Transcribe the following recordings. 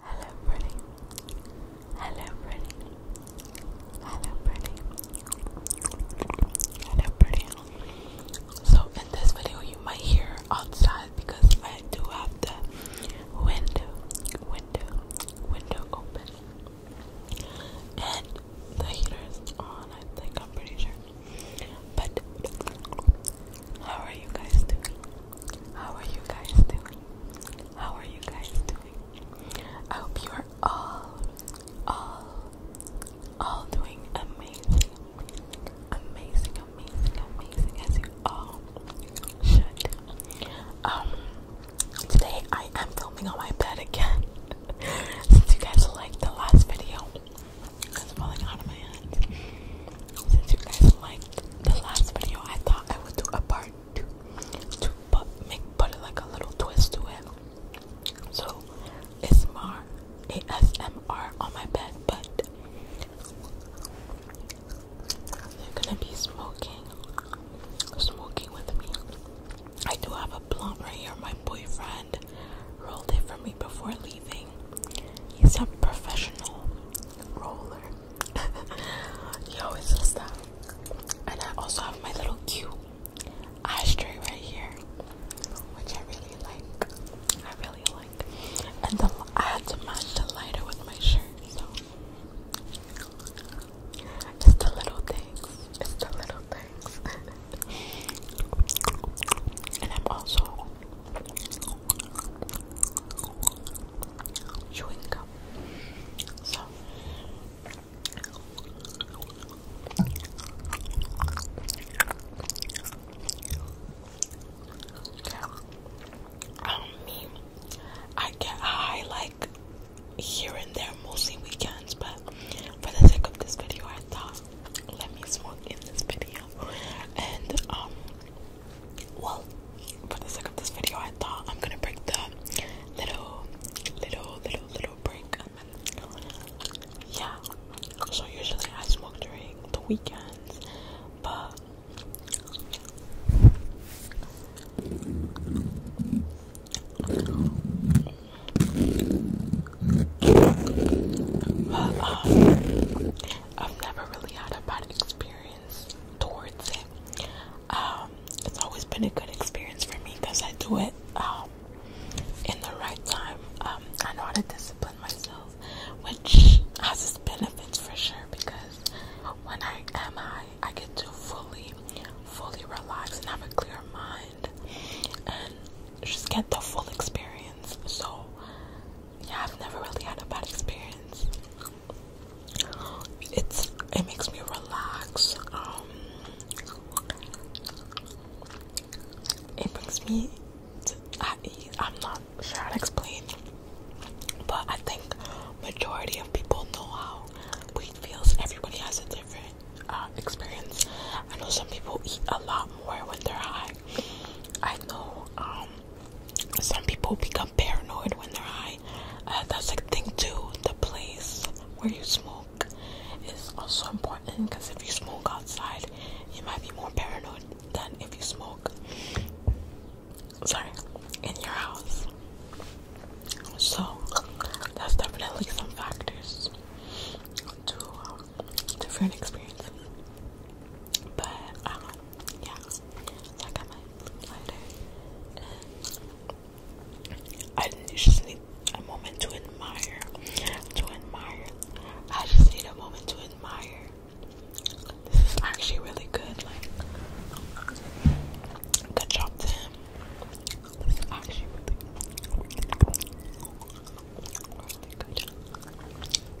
Hello, pretty. Hello, pretty. Hello, pretty. Hello, pretty. So, in this video, you might hear outside because I do have the window, window, window open, and the heater is on. I think I'm pretty sure. But how are you guys doing? How are you guys doing? How are you guys doing? I hope you are all, all, all doing amazing, amazing, amazing, amazing as you all should. Um, today I am filming on my bed again since you guys liked the last video. It's falling out of my hands. Since you guys like the last video I thought I would do a part two to make put it like a little twist to it. So it's more ASMR on my bed, but you are gonna be smoking, smoking with me. I do have a blunt right here. My boyfriend rolled it for me before leaving. He's a professional roller. Yo, it's just that. And I also have my little cute ashtray right here, which I really like. I really like. And I had to match the lighter with my shirt, so. It's the little things. It's the little things. and I'm also chewing gum. Um, I get high like here and there, mostly weekends. But for the sake of this video, I thought let me smoke in this video, and um, well, for the sake of this video, I thought I'm gonna break the little, little, little, little break. Yeah. So usually I smoke during the weekends, but I've never really had a bad experience towards it. Um, it's always been a good experience for me because I do it um, in the right time. Um, I know how to discipline myself, which has its benefits for sure because when I am high, I get to fully, fully relax and have a clear mind and just get the full experience. So yeah, I've never really had a bad experience. It's it makes me relax. Um, it brings me I'm not sure how to explain, but I think majority of people know how weight feels. Everybody has a different uh, experience. I know some people eat a lot more when they're high. I know um, some people become paranoid when they're high. Uh, that's a thing too. The place where you smoke is also important because if you smoke outside, you might be more paranoid than if you smoke. Sorry, in your house. So that's definitely some factors to um, different experiences. But um, yeah, I got my I just need a moment to admire, to admire. I just need a moment to admire. This is actually really good. good job to him. This is actually really, really good.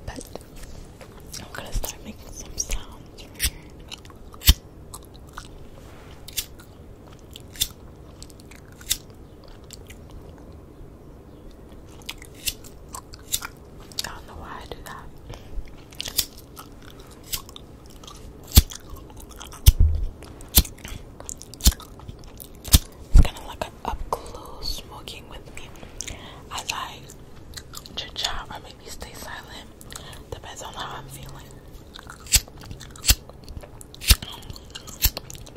But I'm gonna start making some sounds I don't know why I do that. It's gonna look up close smoking with me as I chit chat or maybe stay silent. Depends on how I'm feeling.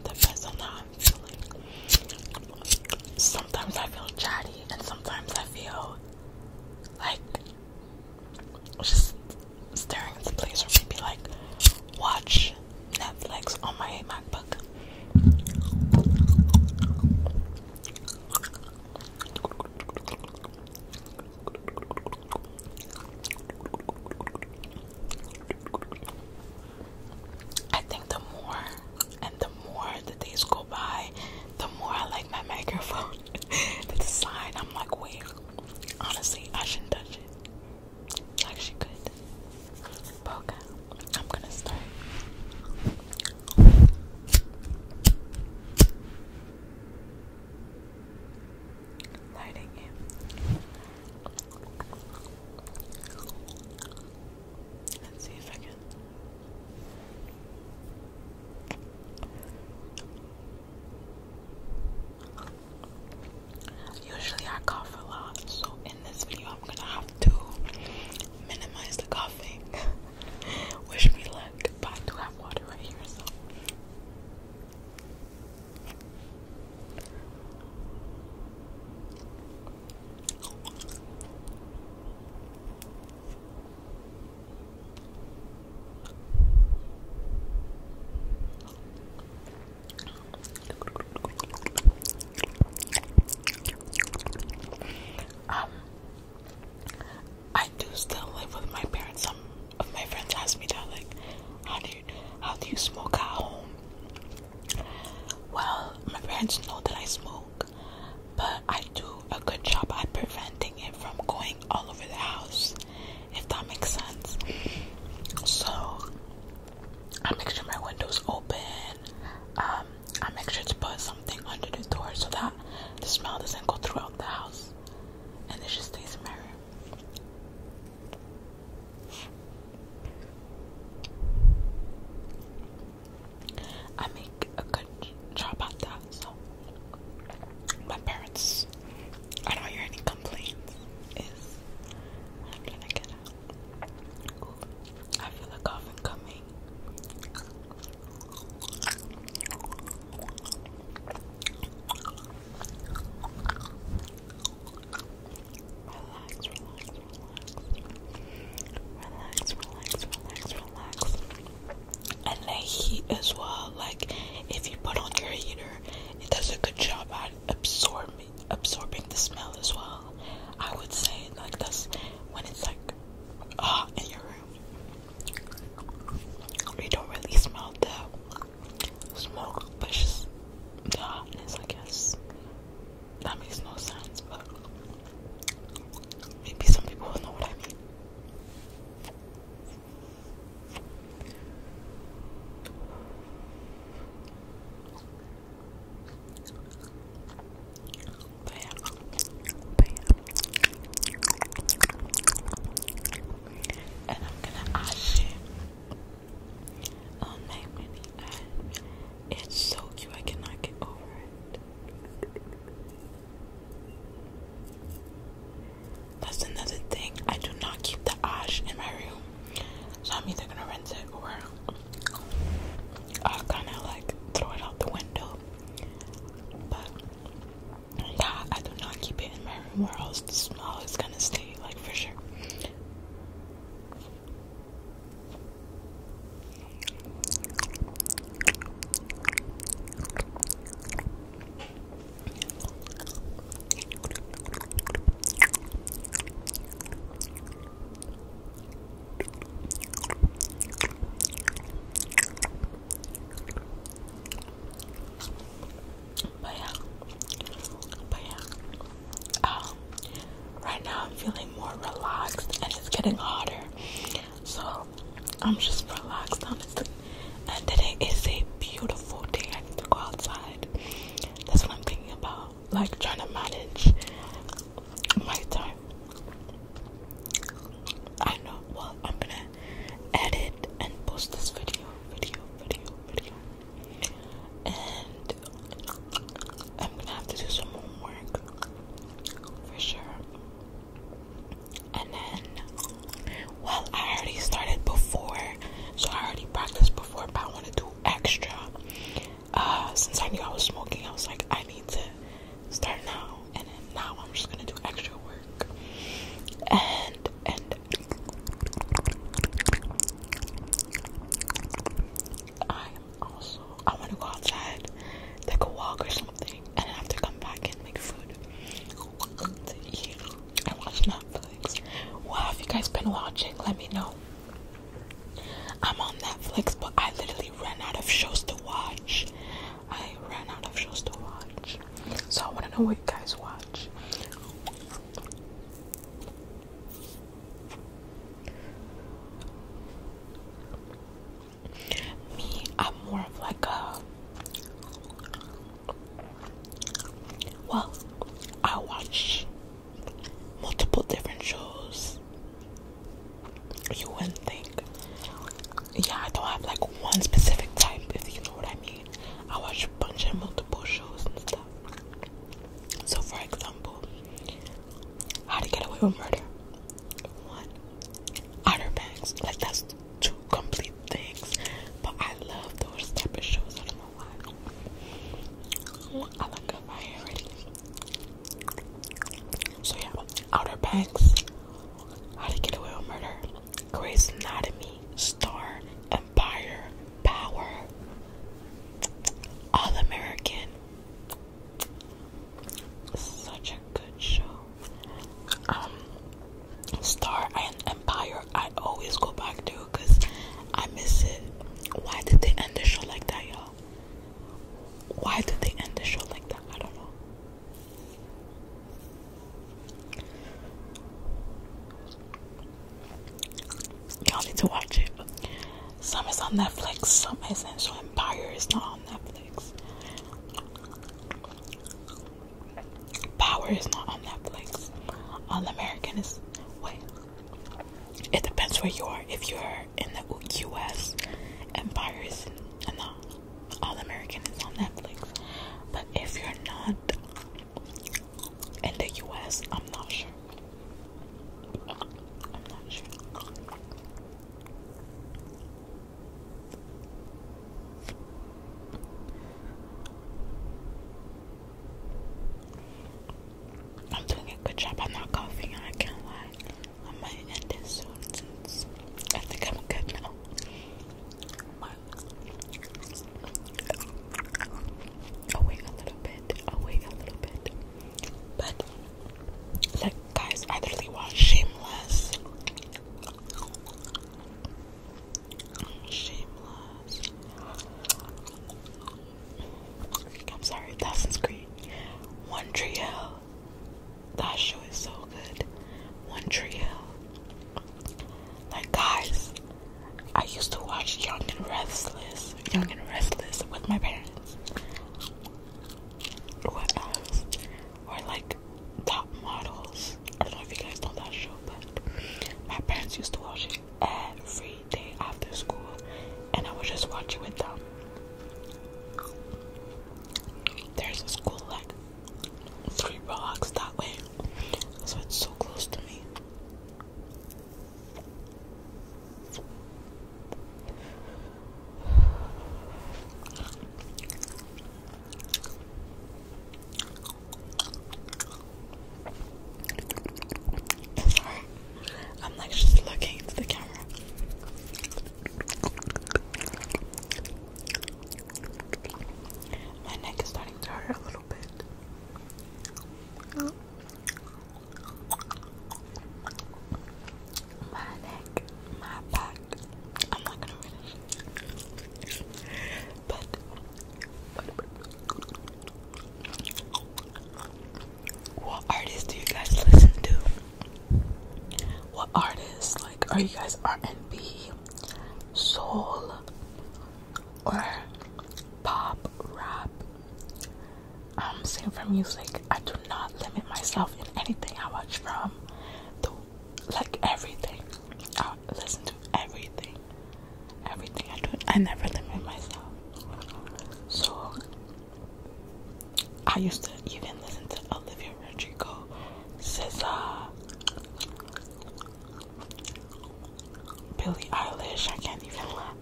Depends on how I'm feeling. Sometimes I feel chatty and sometimes I feel like just staring at the place or maybe like watch Netflix on my MacBook. I think the more and the more the days go by, the more I like my microphone. the design, I'm like, wait, honestly, I shouldn't touch it. Like, she could. Boca. I'm gonna start. Lighting it. Let's see if I can. Usually I cough a lot, so in this video I'm gonna have to minimize the coughing. Wish me luck, but do have water right here, um, I do still live with my parents. Some of my friends ask me that, like, how do you, how do you smoke at home? Well, my parents know that I smoke, but I do a good job at preventing it from going all over the house, if that makes sense. So, I make sure my window's open. Um, I make sure to put something under the door so that the smell doesn't go throughout the house and it just stays in my room. I make a good job at that, so my parents, I don't hear any complaints. Is I'm trying to get at. I feel a coffin coming. Relax, relax, relax, relax, relax, relax, relax, and the heat as well. Like if you put on your heater, it does a good job at absorbing absorbing the smell as well. I would say like this when it's like ah in your room. You don't really smell the smoke, but just the I guess. That makes no sense, but maybe some people know what I mean. And I'm gonna eyeshadow. Um, maybe eye. It's so cute. I cannot get over it. That's another thing. I do not keep the ash in my room. So I'm either gonna rinse it or I'll kind of like throw it out the window. But yeah, I do not keep it in my room or else the smell is gonna stay like for sure. But yeah, but yeah. Um, right now I'm feeling more relaxed, and it's getting hotter, so I'm just relaxed, honestly. And today is a beautiful day. I need to go outside. That's what I'm thinking about like trying to manage my time. I know. Well, I'm gonna edit and post this video, video, video, video, and I'm gonna have to do some homework for sure. And then, well, I already started before, so I already practiced before, but I want to do extra. Uh, since I knew I was smoking, I was like, I need to start now, and now I'm just gonna do extra work. And and I am also I want to go outside, take a walk or something, and then have to come back and make food to eat and watch Netflix. What have you guys been watching, let me know. I'm on Netflix, but I literally ran out of shows to watch. I ran out of shows to watch. So I want to know what you guys watch. Me, I'm more of like a. Well, I watch multiple different shows. You wouldn't think. Yeah, I don't have like one specific type, if you know what I mean. I watch a bunch of multiple shows and stuff. So, for example, How to Get Away with Murder. One. Like, that's two complete things. But I love those type of shows lot. I looked up my hair already. So yeah, Outer Banks, How to Get Away with Murder, Grey's Anatomy, Star, Empire, Power, All American. Such a good show. Um, Star and Empire I always go back to because I miss it. Why did they end the show like that, y'all? Why did they end the show like that? I don't know. Y'all need to watch it. Some is on Netflix, some is Empire is not on Netflix. Power is not on Netflix. All American is wait. It depends where you are. If you're in the U.S., Empire is and All American is on Netflix. But if you're not in the U.S., I'm not sure. I'm not sure. I'm doing a good job. I'm not coughing, and I can't lie. I might end this soon since I think I'm good now. Awake a little bit, awake a little bit. But, like, guys, I really watched Shameless. Shameless. I'm sorry, Assassin's Creed. One Tree Hill. That show is so good. One Tree Hill. Like, guys, I used to watch Young and Restless. Young and Restless with my parents. What else? Or like top models. I don't know if you guys know that show, but my parents used to watch it every day after school, and I would just watch with them. There's a school like three blocks that way, so it's so close to me. I'm like just looking into the camera. My neck is starting to hurt a little bit. My neck, my back. I'm not gonna finish. But what artists do you guys listen to? What artists like are you guys R&B, soul, or pop, rap? I'm same for music. I do not limit myself in anything. I watch from the like everything i listen to everything. Everything I do, I never limit myself. So I used to even listen to Olivia Rodrigo, SZA, Billie Eilish. I can't even lie.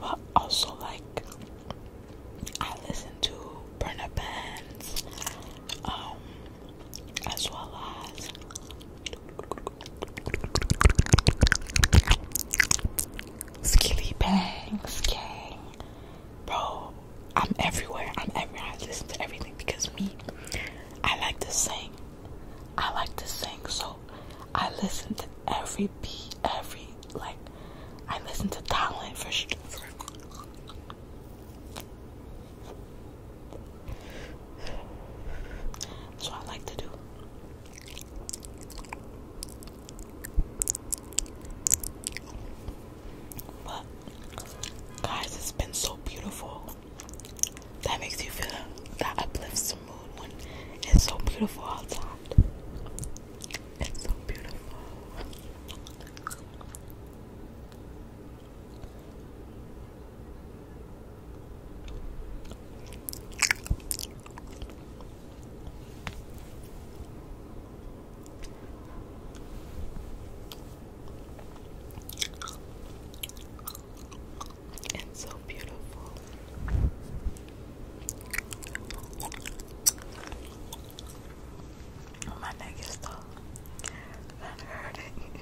But also like I listen to Burna Bands, um, as well as Skilly Bang, Bro, I'm everywhere. I'm everywhere. I listen to everything because me, I like to sing. I like to sing, so I listen to every beat, every like. I listen to talent for, for that's what I like to do. But guys, it's been so beautiful. That makes you feel that uplifts the mood when it's so beautiful outside. It's so beautiful. It's so beautiful. My neck is tall. I heard it.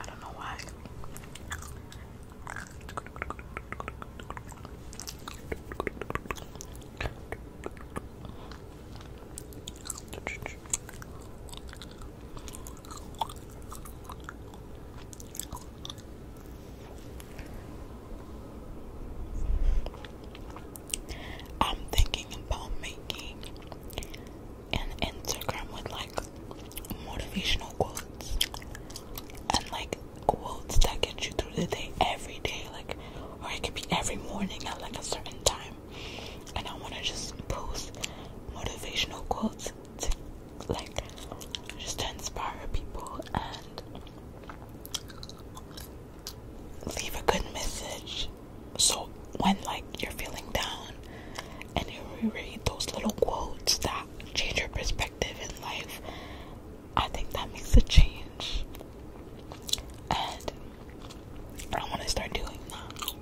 I don't know why. I'm thinking about making and Instagram with like motivational quotes and like quotes that get you through the day every day, like, or it could be every morning at like a certain time. And I want to just post motivational quotes to like just to inspire people and leave a good message so when like you're feeling down and you read those little quotes that change your perspective in life, I think that makes a change. And I want to start doing that.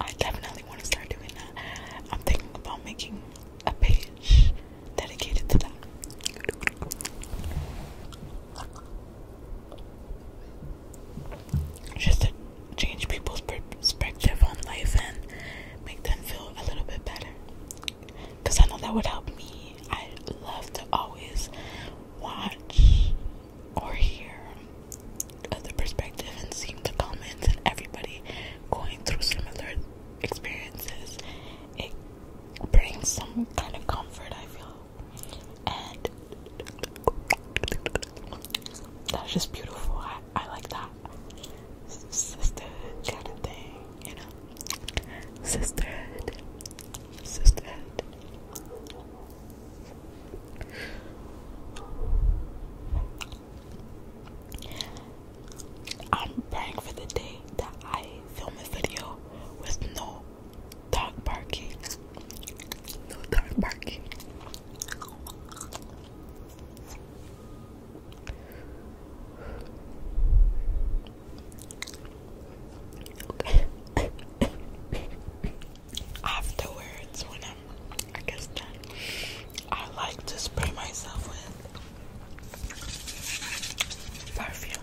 I definitely want to start doing that. I'm thinking about making a page dedicated to that just to change people's perspective on life and make them feel a little bit better. Because I know that would help me. I love to always watch or hear other perspective and see the comments and everybody going through similar experiences. It brings some kind of comfort, I feel that's just beautiful. I, like that sister kind of thing, you know, sisterhood, sisterhood. I'm praying for the day that I film a video with no dog barking. No dog barking. Afterwards, when I'm, I guess, done, I like to spray myself with perfume.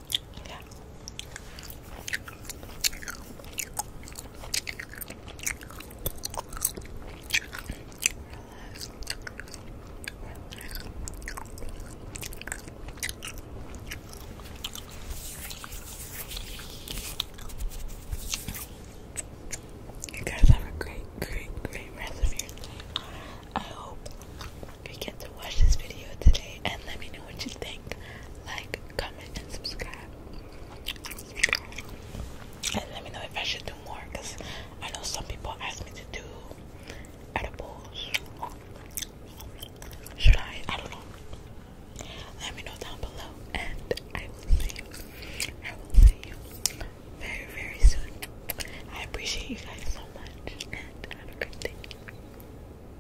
Yeah. You guys have a great, great, great rest of your day. I hope you get to watch this video today and let me know what you think. Like, comment and subscribe. And let me know if I should do more because I know some people ask me to do edibles. Should I? I don't know. Let me know down below, and I will see you. I will see you very, very soon. I appreciate you guys so much, and have a great day.